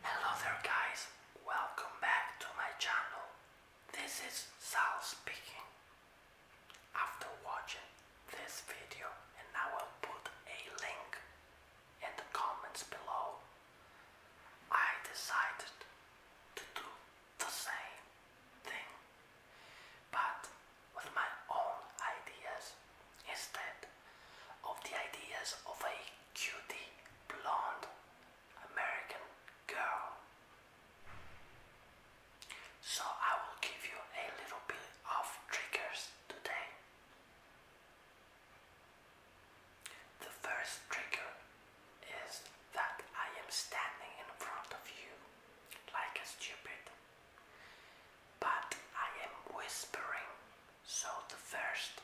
Hello there guys, welcome back to my channel. This is Sal speaking. After watching this video and I will put a link in the comments below, I decided to do the same thing but with my own ideas instead of the ideas of a cute blonde American girl. So I will give you a little bit of triggers today. The first trigger is that I am standing in front of you like a stupid, but I am whispering so the first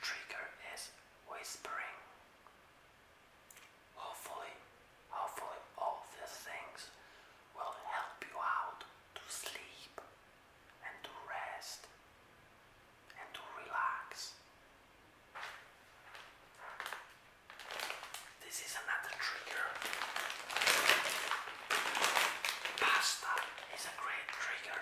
trigger is whispering. Hopefully, hopefully all these things will help you out to sleep and to rest and to relax. This is another trigger. Pasta is a great trigger.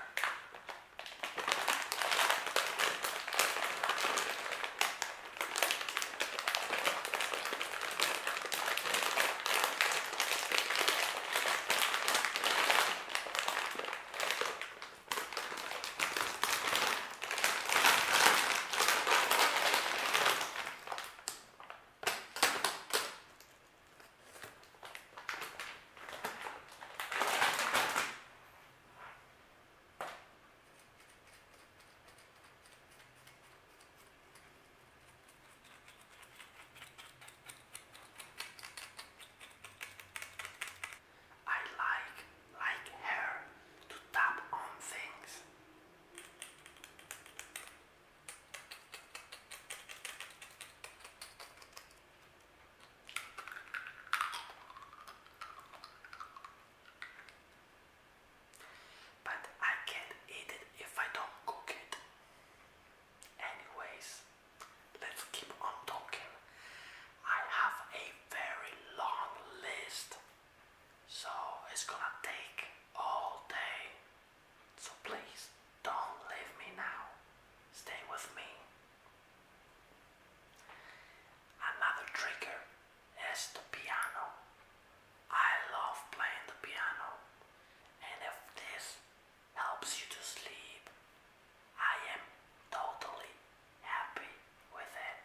I like like her to tap on things. But I can't eat it if I don't cook it. Anyways, let's keep on talking. I have a very long list, so it's gonna take all day. So please don't leave me now. Stay with me. Another trigger is the piano. I love playing the piano, and if this helps you to sleep, I am totally happy with it.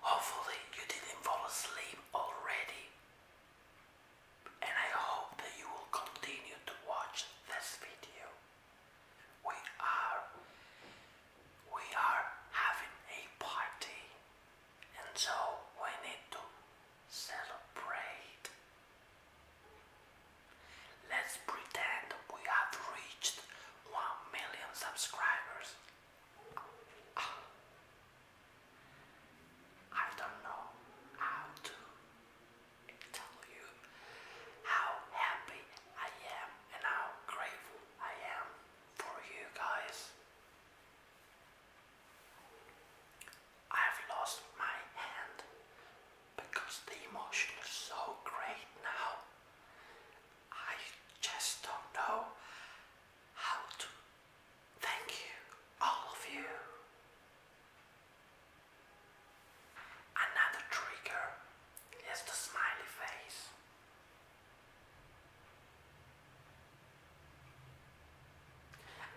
Hopefully, you didn't fall asleep already, and I hope that you will continue to watch this video. We are we are having a party, and so we need to celebrate Let's pretend we have reached 1 million subscribers. Ah. I don't know how to tell you how happy I am and how grateful I am for you guys. I've lost my hand because the emotion is so great now. I just don't know how to thank you, all of you. Another trigger is the smiley face.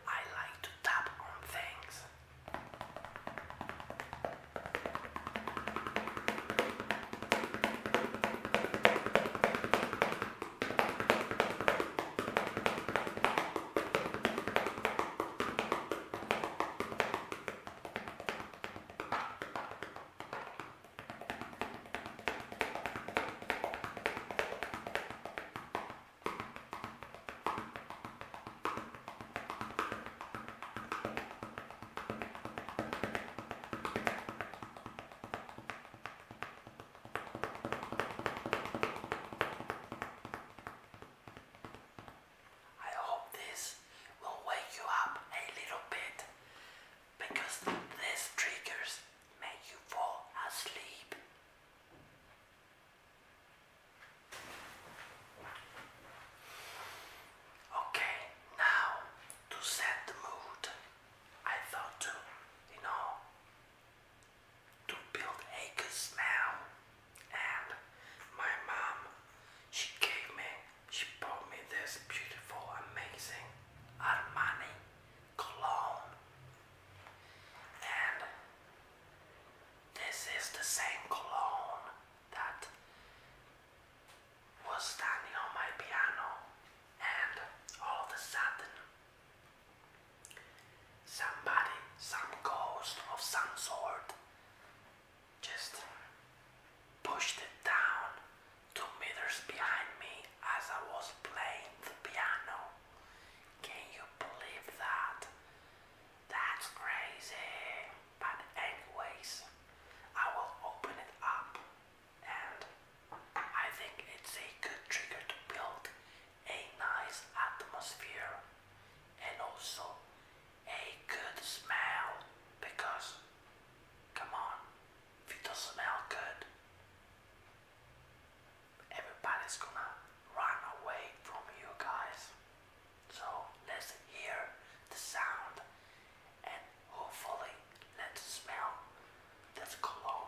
I like to tap on things. I hope this will wake you up a little bit because these triggers make you fall asleep. Okay, now to set the mood, I thought to, you know, to build a smell. And my mom, she gave me, she bought me this beautiful, amazing Armani cologne. And this is the same cologne that was standing on my piano, and all of a sudden, somebody, some ghost of some sort, just pushed it down two meters behind me as I was playing the piano. Can you believe that? That's crazy. But anyways, I will open it up and I think it's a good trigger to build a nice atmosphere and also a good smell because come on, if it doesn't smell good, everybody's gonna run away from you guys. So let's hear the sound and hopefully let's smell this cologne.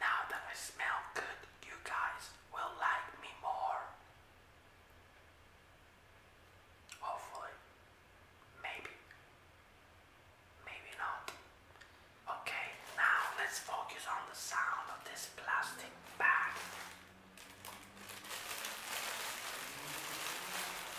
Now that I smell good, you guys will like me more. Hopefully. Maybe. Maybe not. Okay, now let's focus on the sound of this plastic bag.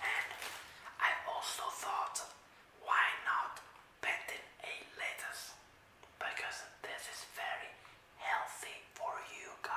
And I also thought, why not painting a lettuce? Because this is very healthy for you guys.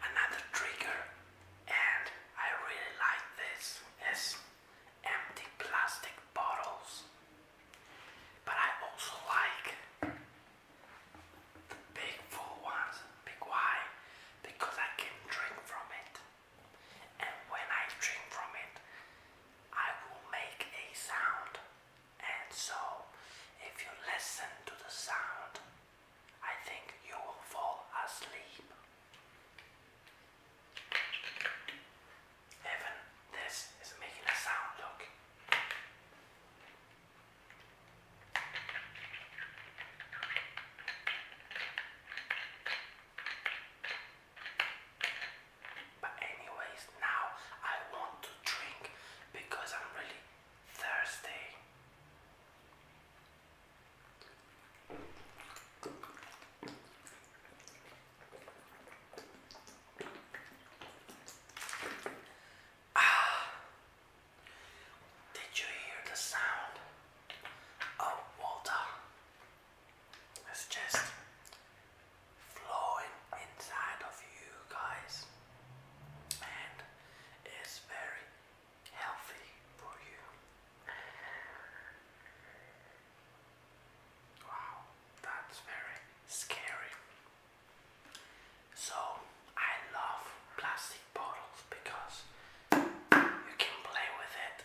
Another trigger, and I really like this, is empty plastic bottles. But I also like big full ones, big because I can drink from it. And when I drink from it, I will make a sound. And so, if you listen to the sound, I think you will fall asleep. Even this is making a sound, look. But anyways, now I want to drink because I'm really thirsty. Did you hear the sound of water? It's just flowing inside of you guys, and it's very healthy for you. Wow, that's very scary. So I love plastic bottles because you can play with it.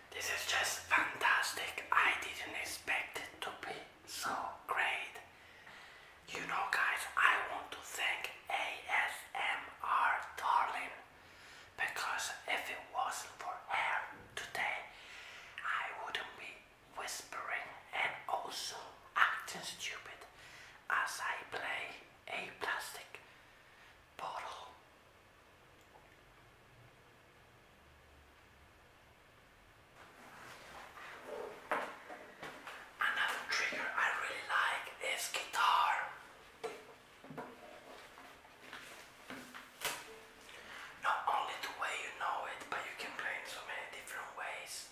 This is just fantastic. I didn't expect it to be so great. You know, guys, I want to thank ASMR Darling because if it wasn't for her today, I wouldn't be whispering and also acting stupid as I play a plastic bottle Another trigger I really like is guitar. Not only the way you know it, but you can play in so many different ways.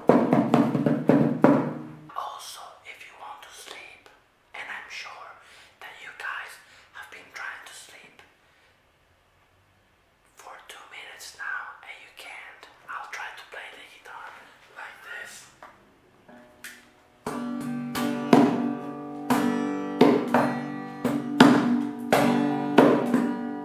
Also, if you want to sleep, and I'm sure that you guys have been trying to sleep for two minutes now and you can't, I'll try to play the guitar like this.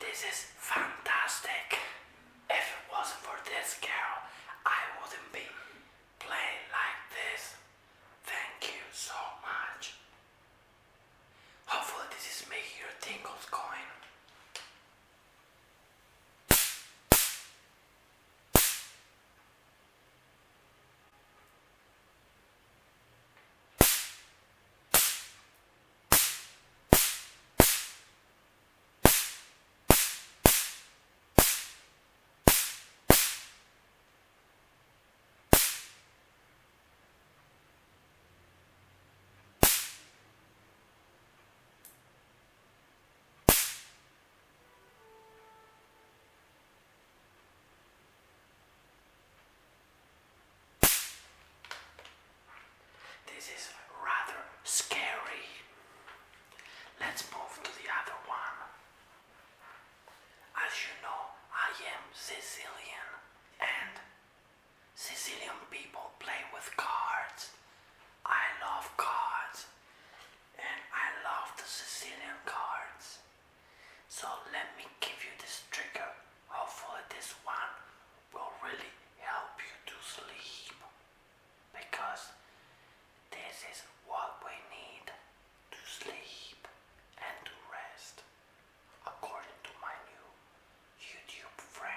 This is fantastic. If it wasn't for this girl, I wouldn't be play like this. Thank you so much. Hopefully this is making your tingles going. This is rather scary. Let's move to the other one. As you know, I am Sicilian, and Sicilian people play with cards. I love cards, and I love the Sicilian cards. So let me give you this trigger. Hopefully, this one will really help you to sleep because this is what we need to sleep and to rest, according to my new YouTube friend.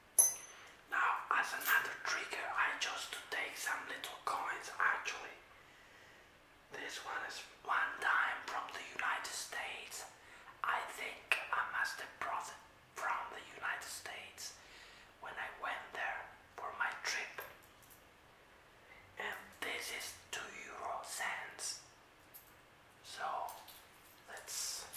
Now, as another trigger, I chose to take some little coins actually. This one is one dime from the United States. I think I must have brought it from the United States when I went there for my trip. And this is 2 euro cents. So let's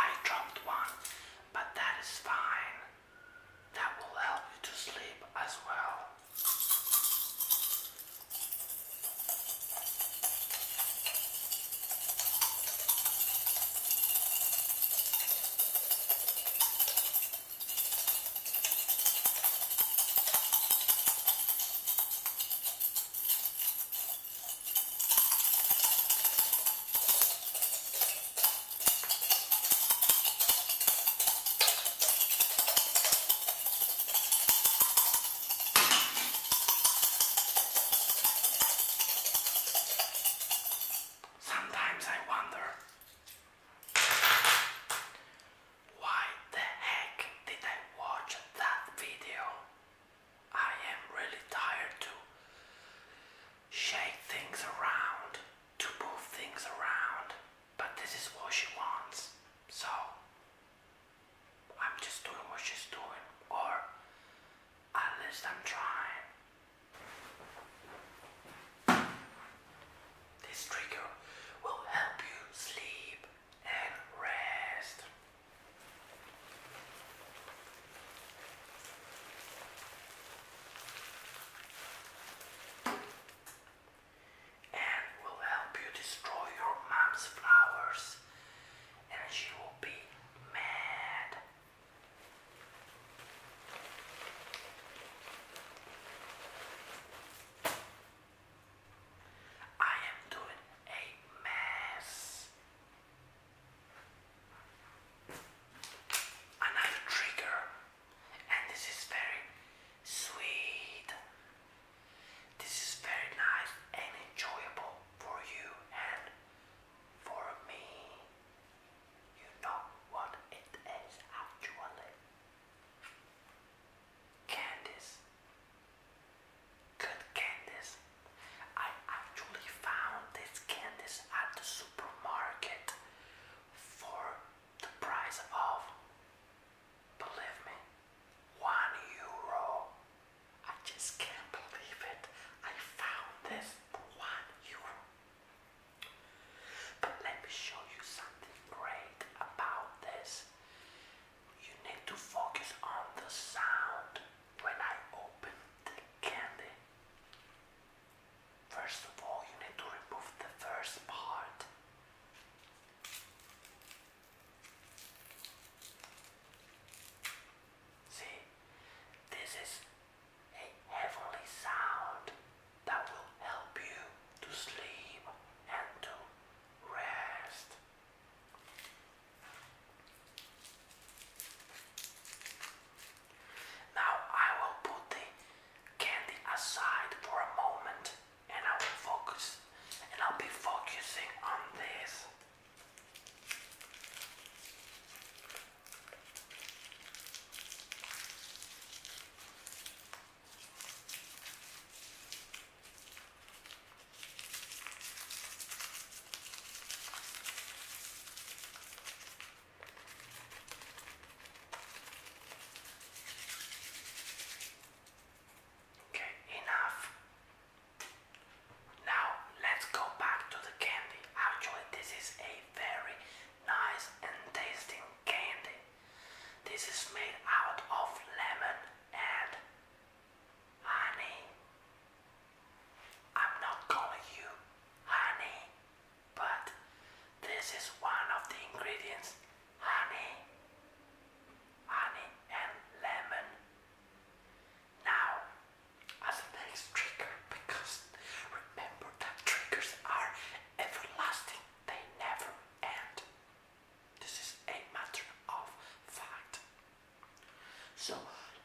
I dropped one, but that is fine that will help you to sleep as well. Sometimes I wonder why the heck did I watch that video? I am really tired to shake things around to move things around, but this is what she wants. So I'm just doing what she's doing, or at least I'm trying. This trigger will help you sleep and rest and will help you destroy your mom's flowers, and she will be mad. I am doing a mess. Another trigger and this is very sweet. This is very nice and enjoyable for you and for me. You know what it is actually. Candies. Good candies. I actually found this candies at the supermarket for the price of, believe me, one euro. I just can't believe it. I found this for one euro. But let me show you something great about this. You need to focus on the sound when I open the candy. First of all, you need to remove the first part. See, this is a heavenly sound that will help you to sleep and to rest. Now I will put the candy aside for a moment and I will focus and I'll be focusing on this. Okay, enough. Now let's go back to the candy. Actually, this is a very nice and tasting candy. This is made out of lemon and honey. I'm not calling you honey but this is one of the ingredients honey, honey, and lemon. Now, as the next trigger, because remember that triggers are everlasting, they never end. This is a matter of fact. So,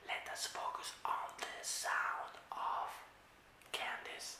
let us focus on the sound of candies.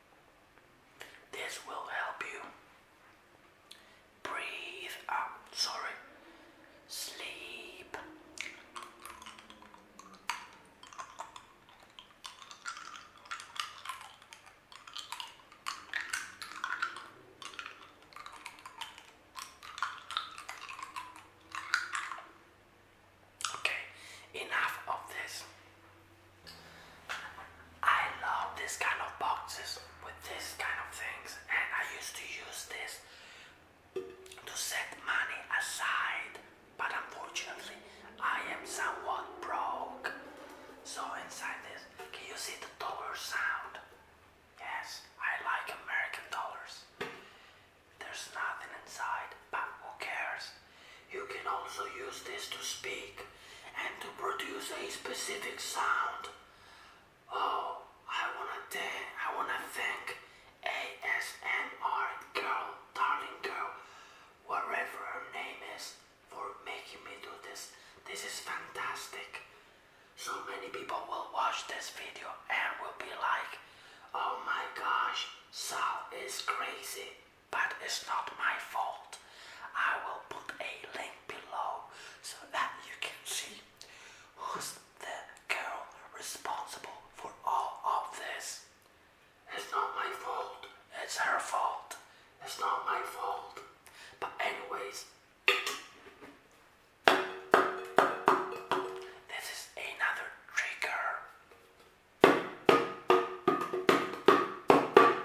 This will help you breathe sorry, sleep. Okay, enough of this. I love this kind of boxes with this kind of things, and I used to use this to set money aside, but unfortunately, I am somewhat broke. So, inside this, can you see the dollar sound? Yes, I like American dollars. There's nothing inside, but who cares? You can also use this to speak and to produce a specific sound. Oh, I wanna thank, I wanna thank ASMR girl, darling girl, wherever her name is, for making me do this. This is fantastic. So many people will watch this video and will be like, oh my gosh, Sal is crazy. That is not my fault. I will put a link below so that you can see who's the girl responsible for all of this. It's not my fault. It's her fault. It's not my fault. But anyways, this is another trigger.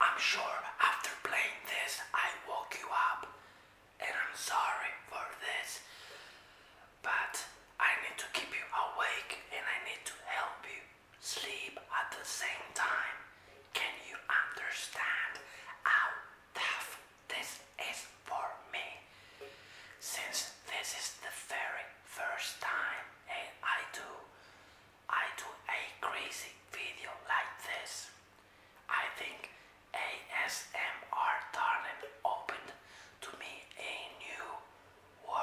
I'm sure after playing this I woke you up and I'm sorry for this but I need to keep you awake and I need to help you sleep at the same time. Can you understand how tough this is for me? Since this is the very first time and I do I do a crazy video like this. I think ASMR Darling opened to me a new world.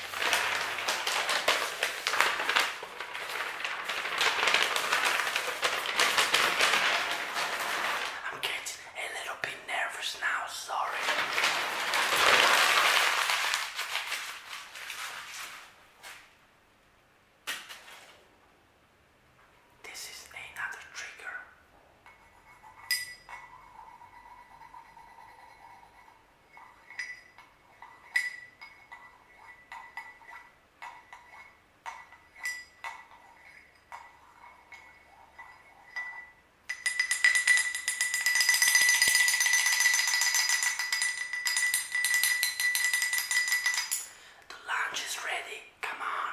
I'm getting a little bit nervous now, sorry. This is another trigger. The lunch is ready, come on.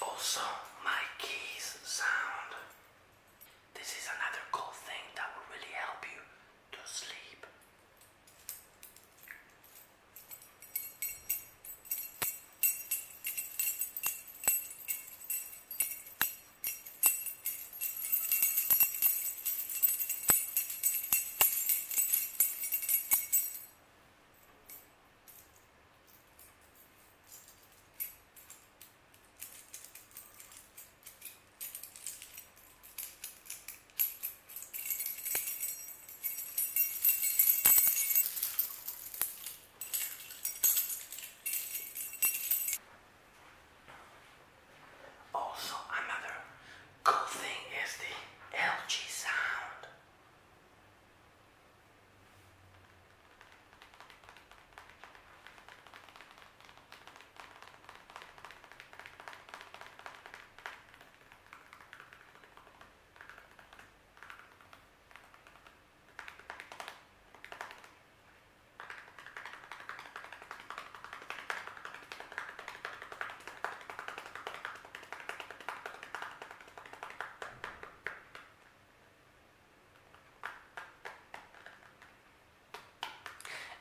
Also, my keys sound. This is another cool thing that will really help you to sleep. Also, another cool thing is the LG sound.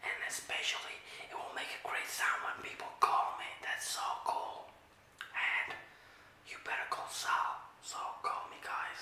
And especially, it will make a great sound when people call me. That's so cool. And you better call Sal. So call me, guys.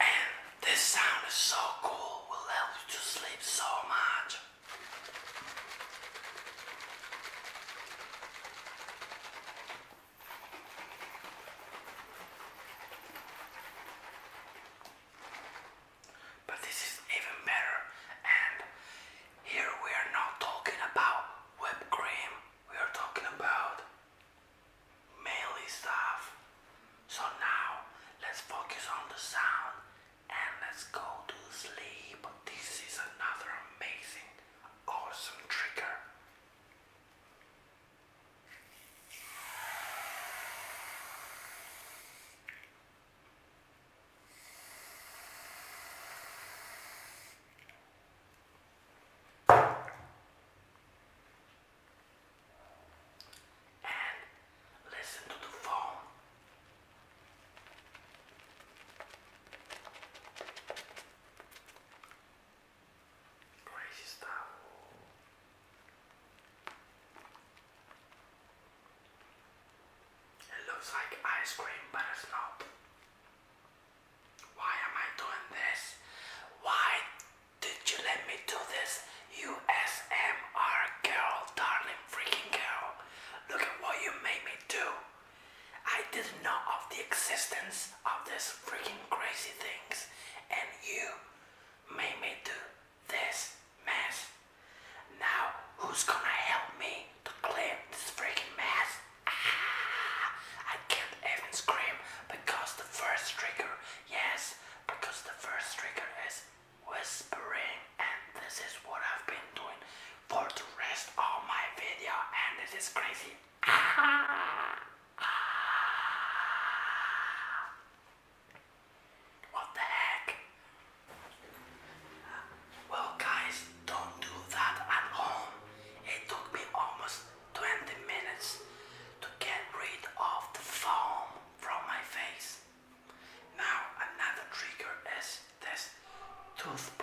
And this sound is so cool, will help you to sleep so much. But this is even better, and here we are not talking about whipped cream, we are talking about mainly stuff. So now let's focus on the sound and let's go to sleep. This is another amazing, awesome trigger. And listen to the phone. Crazy stuff. It looks like ice cream, but it's not. Why am I doing this? Why did you let me do this? You SMR girl, darling freaking girl. Look at what you made me do. I didn't know of the existence of this freaking crazy things, and you made me do this mess. Now, who's gonna help me to clean this freaking mess? Ah, I can't even scream because the first trigger, yes, because the first trigger is whispering and this is what I've been doing for the rest of my video and it is crazy. What the heck? Well guys, don't do that at home. It took me almost 20 minutes to get rid of the foam from my face. Now another trigger is this toothbrush.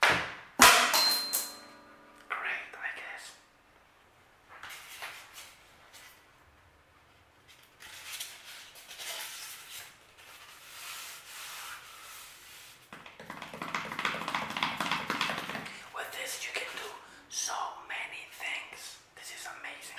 Great, I guess. With this, you can do so many things. This is amazing.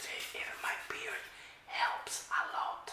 See, even my beard helps a lot.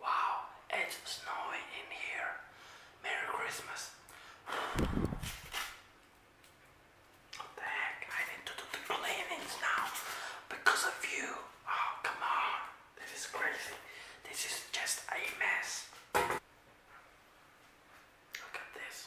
Wow, it's snowing in here. Merry Christmas. What the heck? I need to do the cleanings now because of you. Oh, come on. This is crazy. This is just a mess. Look at this.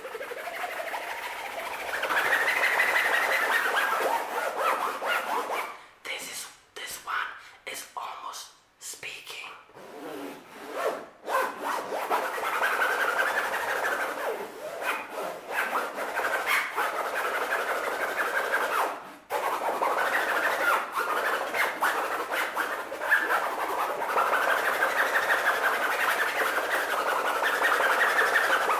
This is this one is almost speaking.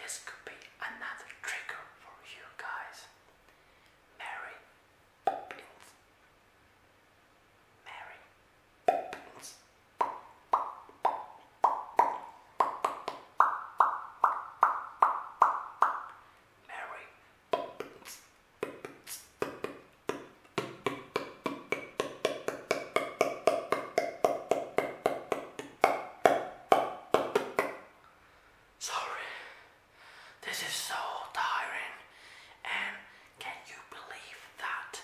This could be another trigger for you guys. Mary Poppins. Mary Poppins. Mary. Sorry, this is so tiring, and can you believe that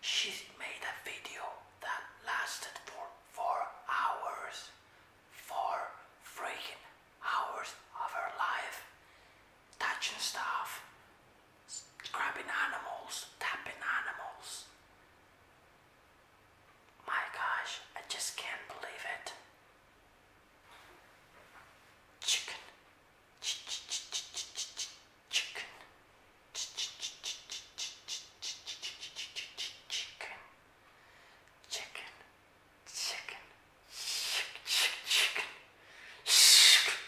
she made a video that lasted for four hours? four freaking hours of her life touching stuff, grabbing animals, tapping animals. My gosh, I just can't believe it. Chicken, ch ch ch ch ch ch ch chicken, ch ch ch ch ch ch ch ch ch chicken. Chicken, chicken, chicken, chicken, chicken.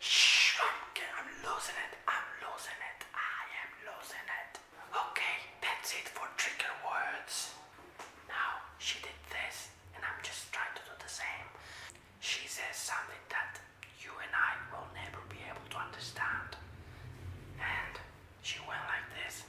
Shh, I'm losing it. I'm losing it. I am losing it. Okay, that's it for trigger words. Now she did this, and I'm just trying to do the same. She says something that you and I will never be able to understand, and she went like this.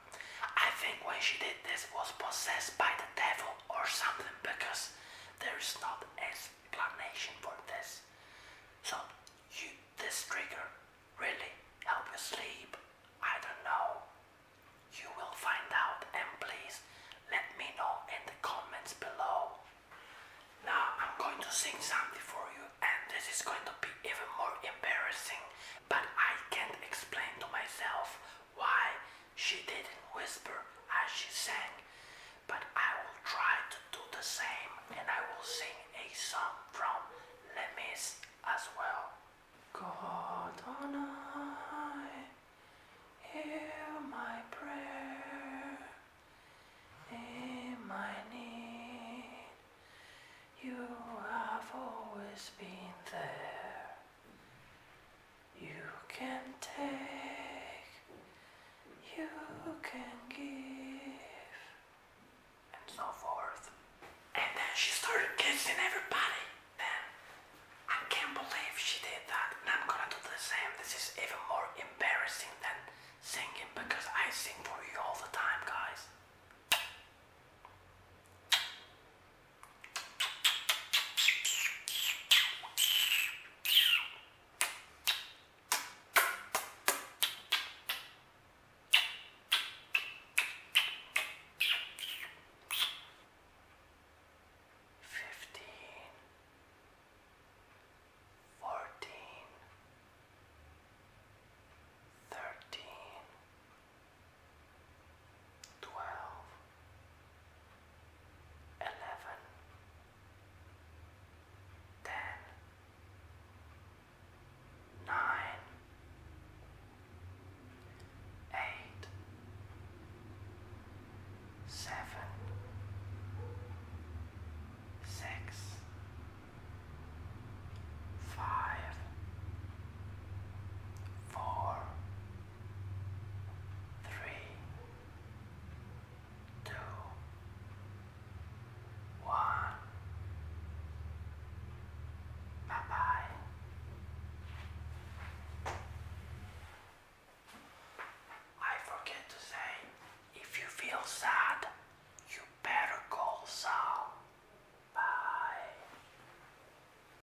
I think when she did this was possessed by the devil or something because there is not explanation for this. So you this trigger really help you sleep. I don't know. You will find out and please let me know in the comments below. Now I'm going to sing something for you and this is going to be even more embarrassing but I can't explain to myself why she didn't whisper as she sang. But I will try to do the same and I will sing a song from Lemis as well. God on high, hear my prayer. In my need, you have always been there. You can take, you can give, and so forth. And then she started kissing everybody. Then I can't believe she did that. And I'm gonna do the same. This is even more embarrassing than singing because I sing for you all the time, guys. Fifteen, fourteen, thirteen twelve, eleven, ten, nine, eight, seven, six, five, four, three, two, one. Bye bye. I forget to say, if you feel sad, you better call Sal. Bye.